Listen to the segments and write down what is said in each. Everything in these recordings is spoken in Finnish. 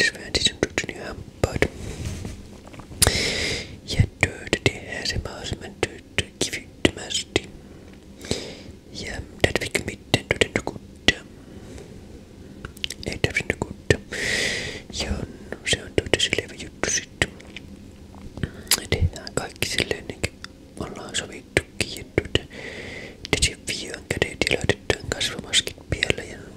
Svenssons nyhampaat. Ja töitä tehdään se mahdollisimman töitä kivittömästi. Ja tarvitse mitään todentokuutta. Ei tarvitse kuutta. Ja on, se on tuota selvä juttu sitten. Tehdään kaikki silleen, niin kuin ollaan sovittukin. Ja tuota, desinfioon kädet ja laitetaan kasvomaskit päälle ja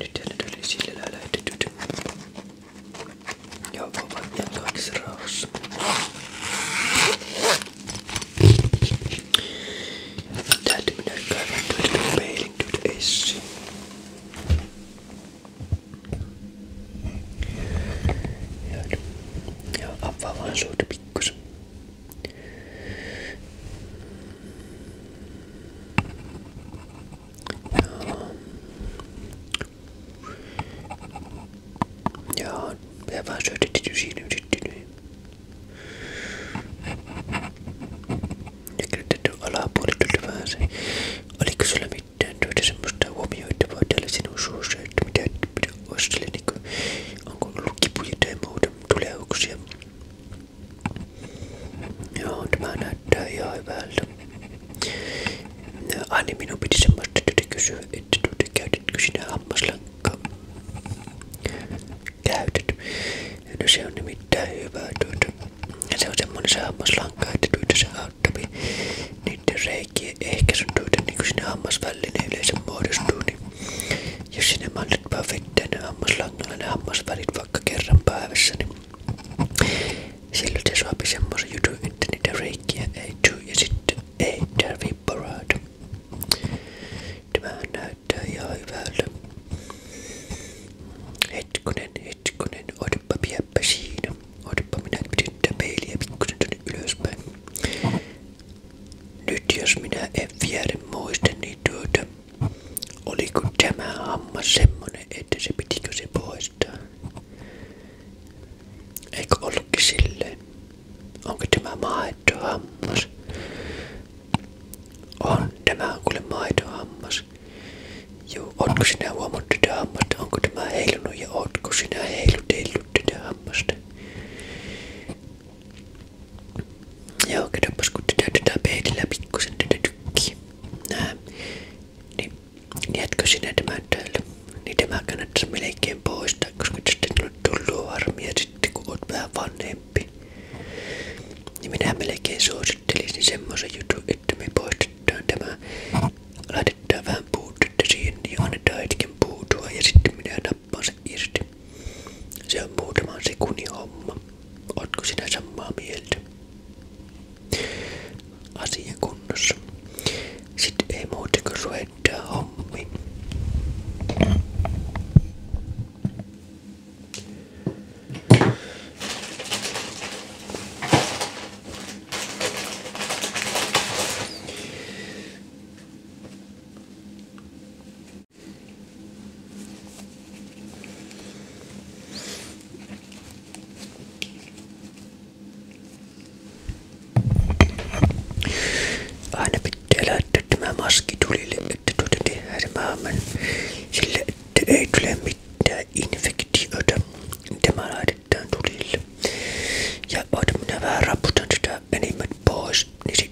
Nyt hänet oli sillä lähetetyt. Ja ovat jatkaanissa rauhassa. Täytyy mennä käymään työtä peilin työtä esiin. Ja avaa vaan suuta pikkusen. Joo. Ja vaan syötetty siinä yrittelyyn. Ja kirjoitettu alapuolelle vähän se. Oliko sulla mitään työtä semmoista huomioitavaa täällä sinun suussa, että mitä, mitä ostelen, niin onko ollut kipuja tai muuta, tulehuksia. Joo, tämä näyttää ihan hyvältä. minun piti semmoista työtä kysyä, että tuota, käytätkö sinä hammaslankkaa? Käytät. No se on nimittäin hyvä tuota. Se on semmoinen se hammaslankka, että tuota se auttaa niiden reikien ehkäisyn tuota, niin kuin sinne hammasvälineen yleensä muodostuu. Niin jos sinne mallit perfekteen niin hammaslangalla ne hammasvärit vaikka kerran päivässä, niin silloin se saapi semmoisen jutun, että niitä reikiä ei tule ja sitten ei tarvii parata. Tämähän näyttää ihan hyvältä. Hetkonen, hetkonen, odotapa pieppä siinä. Odotapa minä pidän tätä peiliä pikkusen nyt jos minä en muista muisteni niin tuota, oliko tämä hammas semmonen, että se pitikö se poistaa? Eikö ollutkin silleen? Onko tämä maitohammas? On, tämä on kuule maitohammas. Joo, onko sinä huomannut tätä hammasta? Onko tämä heilunut ja onko sinä heilutellut tätä hammasta? Joo, katsopas kun tätä tätä peilillä pikkusen tätä tykkii. Näin. Niin, niin, jätkö sinä tämän täällä? Niin tämä kannattaisi melkein poistaa, koska tästä on tullut harmia sitten kun oot vähän vanhempi. Niin minä melkein suosittelisin semmoisen jutun, että me poistetaan tämä. Laitetaan vähän puutetta siihen, niin annetaan hetken puutua ja sitten minä läppäs irti. Se on muutaman sekunnin homma. Ootko sinä samaa mieltä? Asia kunnossa. Sitten ei muuta kuin suhettaa hommiin. Aina pitää laittaa tämä maski tulille, että tuota tehdään maailman sillä, että ei tule mitään infektiota. Tämä laitetaan tulille. Ja oota minä vähän raputan sitä enemmän pois, niin se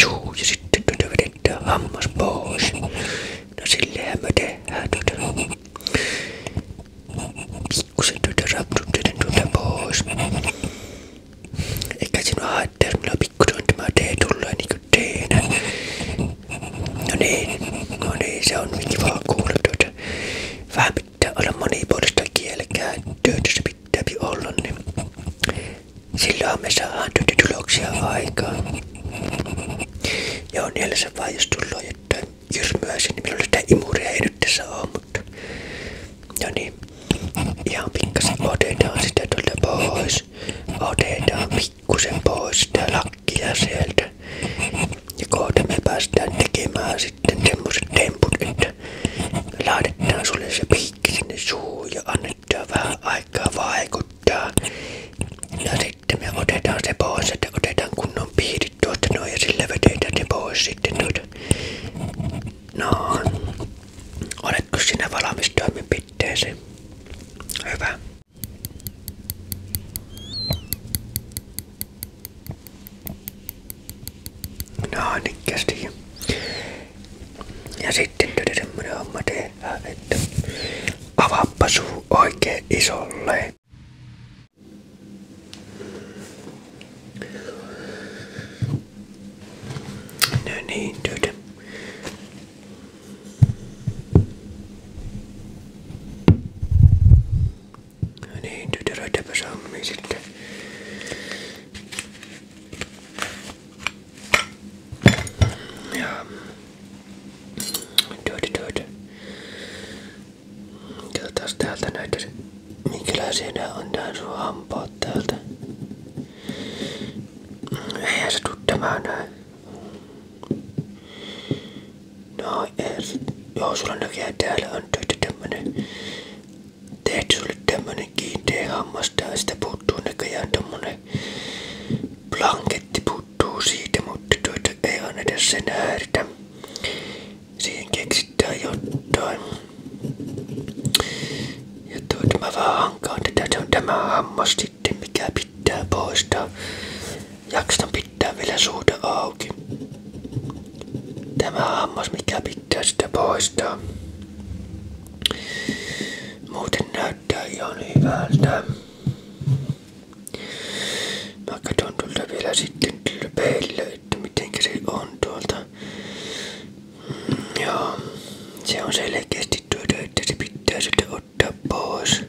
Juu, ja sitten tätä vedetään hammas pois. No sillehän me tehdään tätä. Tuota. Pikkusen tätä tuota rapsutetaan tuota pois. Eikä sinua haittaa, jos minulla pikkusen tämä tee tulee niinku teenä. No niin, no niin, se on kiva kuulla tuota. Vähän pitää olla monipuolista kielenkäyttöä, tässä pitää olla, niin Silloin me saadaan tyty tuloksia aikaan. ja on se vaan jos tulee jotain jyrmyäisiä, niin minulla sitä imuria ei nyt tässä ole, mutta... No niin, ihan pikkasen otetaan sitä tuolta pois. Otetaan pikkusen pois sitä lakkia sieltä. Ja kohta me päästään tekemään sitten semmoset temput, että laitetaan sulle se piikki sinne suuhun ja annetaan vähän aikaa aikaa vaikuttaa. Ja sitten me otetaan se pois, että otetaan kunnon piirit tuosta noin ja sillä vedetään se pois sitten tuota. No, oletko sinä valmis toimenpiteeseen? Hyvä. No, niin kästi. Ja sitten tuli semmonen homma tehdään, että avaappa suu oikein isolle. No niin, tytö. No niin, tytö, röytäpä sammii ja. Työdy, työdy. Katsotaas täältä näitä, minkälaisia on tää sun täältä. Eihän se tuu tämä No, ei. Joo, sulla näkee täällä on työtä tämmönen. Tehty sulle kiinteä hammas tää, sitä puuttuu näköjään tommonen Blanketti puuttuu siitä, mutta tuota ei anneta sen häiritä. Siihen keksitään jotain. Ja tuota mä vaan hankaan tätä. Se on tämä hammas sitten, mikä pitää poistaa. Jaksan pitää vielä suuta auki. Tämä hammas, mikä pitää sitä poistaa. Muuten näyttää ihan hyvältä. Mä katson tuolta vielä sitten tuolta peilillä, että miten se on tuolta. Mm, ja se on selkeästi tuota, että se pitää sitten ottaa pois.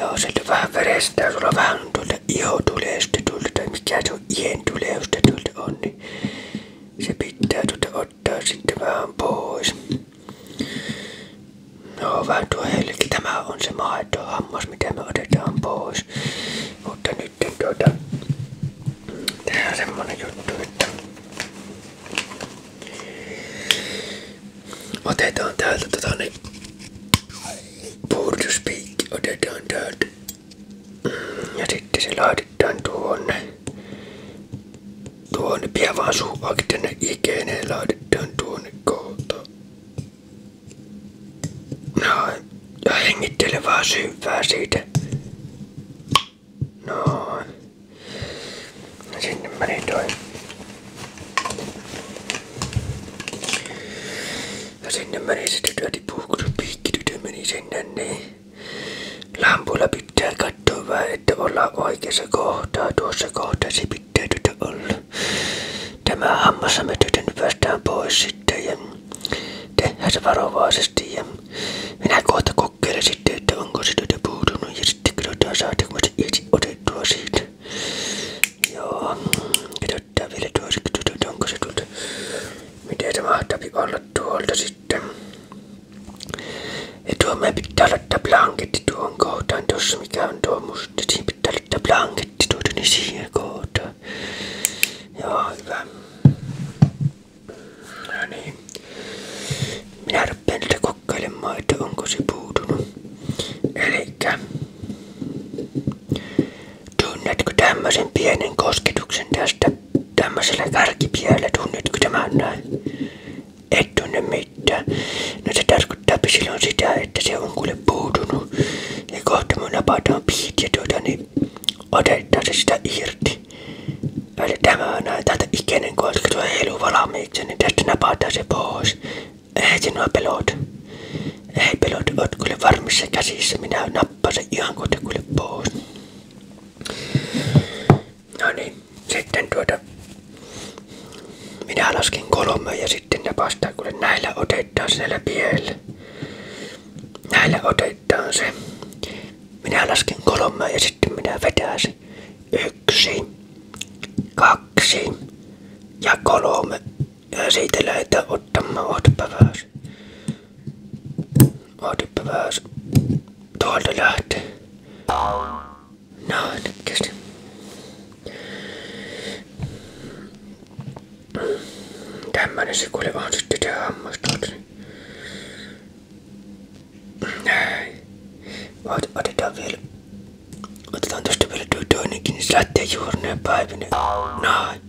Joo, sieltä vähän verestää, sulla vähän on tuolta ihotulesta tuolta, tai mikä se on, ihen tuleusta tuolta on, niin se pitää tuota ottaa näyttää sitten vähän pois. No vähän tuo helki. Tämä on se maitohammas, mitä me otetaan pois. Mutta nyt tuota, tehdään semmonen juttu, että otetaan täältä tota niin puhdistuspiikki, otetaan täältä mm, ja sitten se laitetaan laitetaan tuonne. Tuonne pian vaan suu auki tänne ikeen laitetaan tuonne kohta. Noin. Ja hengittele vaan syvää siitä. Noin. Sinne meni toi. Ja sinne meni sitten tytö tipuu, kun se piikki tytö meni sinne niin. Lampulla pitää katsoa vähän, että ollaan oikeassa kohtaa. Tuossa kohtasi pitää tytä olla. Tämä hammassamme tytön päästään pois sitten ja tehdään se varovaisesti. Ja minä kohta kokeilen sitten, että onko se tytö puutunut ja sitten katsotaan saadaanko se itse otettua siitä. Joo, katsotaan vielä tuossa, onko se tuolta. Miten se mahtaa olla tuolta sitten? Ja tuomeen pitää laittaa blanketti tuohon kohtaan, tuossa mikä on tuo musta. Niin siinä pitää laittaa blanketti tuota niin siihen kohtaan. Joo, hyvä. No niin. Minä rupean tätä kokkailemaan, että onko se puutunut. Elikkä. Tunnetko tämmöisen pienen kosketuksen tästä tämmöiselle kärkipielle tunnitko tämän näin? Et tunne mitään. No se tarkoittaa silloin sitä, että se on kuule puutunut. Ja kohta me napataan piit ja tuota niin otetaan se sitä irti. Ja tämä on näin täältä ikäinen, koska tuo heilu valmiiksi, niin tästä napataan se pois. Ei sinua pelota. Ei pelota, oot kuule varmissa käsissä, minä nappasin ihan kuule pois. No niin, sitten tuota... Minä laskin kolme ja sitten ne vastaan, kun näillä otetaan siellä piellä. Näillä otetaan se. Minä lasken kolme ja sitten minä vetään se. Yksi, kaksi ja kolme. Ja siitä lähdetään ottamaan ohtapä Ootippa vähän tuolta lähtee. No, kesti. Tämmönen se kuule on sitten se hammastaukseni. Näin. Ot, vielä. Otetaan tosta vielä tuo niin se lähtee päivinä. Noin.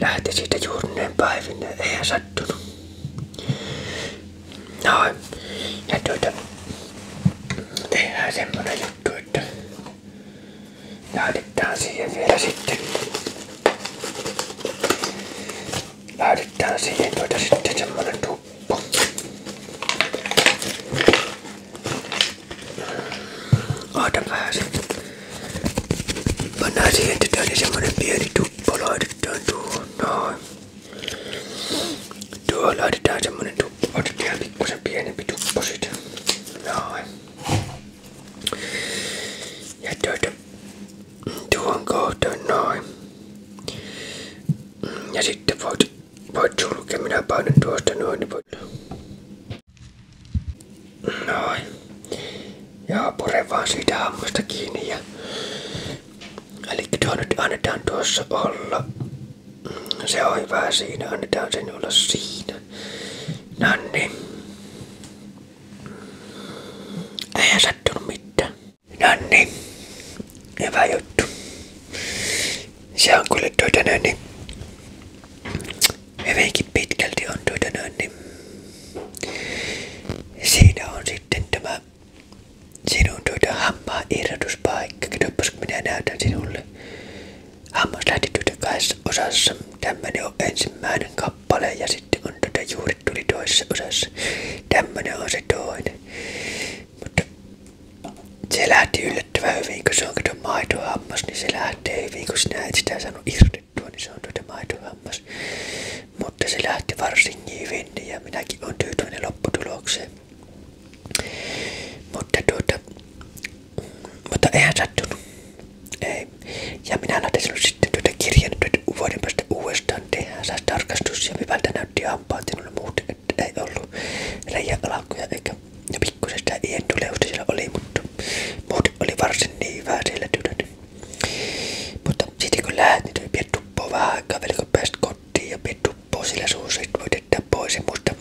Lähtee siitä juurneen päivinä. Eihän sattunut. No, ja tuota, tehdään semmonen juttu, että laitetaan siihen vielä sitten. Laitetaan siihen tuota sitten semmonen tuppu. Oota vähän sitten. Pannaan siihen tytölle semmonen pieni tuppo, laitetaan tuohon noin. Tuohon laitetaan semmonen tuppo, otetaan pikkusen pienempi tuppo sit. Noin. Ja tuota, tuohon kohtaan noin. Ja sitten voit, voit sulkea, minä painan tuosta noin, niin voit... Noin. Ja pure vaan siitä hammasta kiinni. Ja... Eli tuo nyt annetaan tuossa olla. Se on hyvä siinä, annetaan sen olla siinä. Nanni. Eihän sattunut mitään. Nanni. Hyvä juttu. Se on kyllä tuota noin, niin, hyvinkin pitkälti on tuota noin, niin, Siinä on sitten tämä sinun tuota hammaa irrotuspaikka. kun minä näytän sinulle. Hammas lähti tuota kahdessa osassa. Tämmönen on ensimmäinen kappale ja sitten on tuota juuri tuli toisessa osassa. Tämmönen on se toinen. Mutta se lähti yllättävän hyvin, kun se on kato maitohammas, niin se lähtee hyvin, kun sinä et sitä saanut irti onnistuttua, niin se on tuota maitohammas. Mutta se lähti varsin hyvin ja minäkin olen tyytyväinen lopputulokseen. Mutta tuota, mutta eihän sattunut. Ei. Ja minä laitan sitten tuota kirjan tuota vuoden päästä uudestaan tehdään saa tarkastus ja hyvältä näytti hampaat minulle muuten, että ei ollut reiäalakkuja eikä ja pikkusen sitä ientuleusta siellä oli, mutta muuten oli varsin niin hyvää siellä tytöt. Tuota mutta sitten kun lähdin, niin pidät tuppoo ja pidät tuppoo sillä sun sit voit jättää pois. Mutta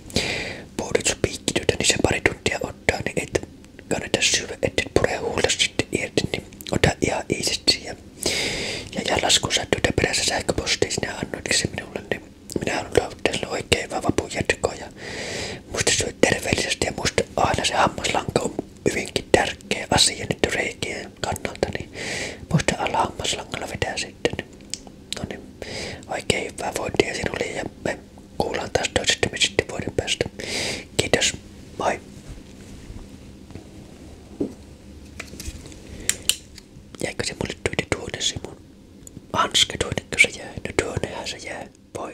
puhdutuspiikkityötä, niin se pari tuntia niin ettei pure huulta sitten niin Ja, ja, perässä sähköpostiin, sinä annoitkin niin se minulle, niin minä haluan teille oikein vaan muista syöt muista aina se hammaslanka on hyvinkin tärkeä asia nyt reikien kannalta, niin muista alla hammaslangalla vetää sitten. No niin, oikein hyvää vointia sinulle ja me kuullaan taas toisestamme sitten vuoden päästä. Kiitos, moi! Jäikö se mulle tuonne tuonne Simon? Hanske tuonne, kun se jää? No tuonnehän se jää. Voi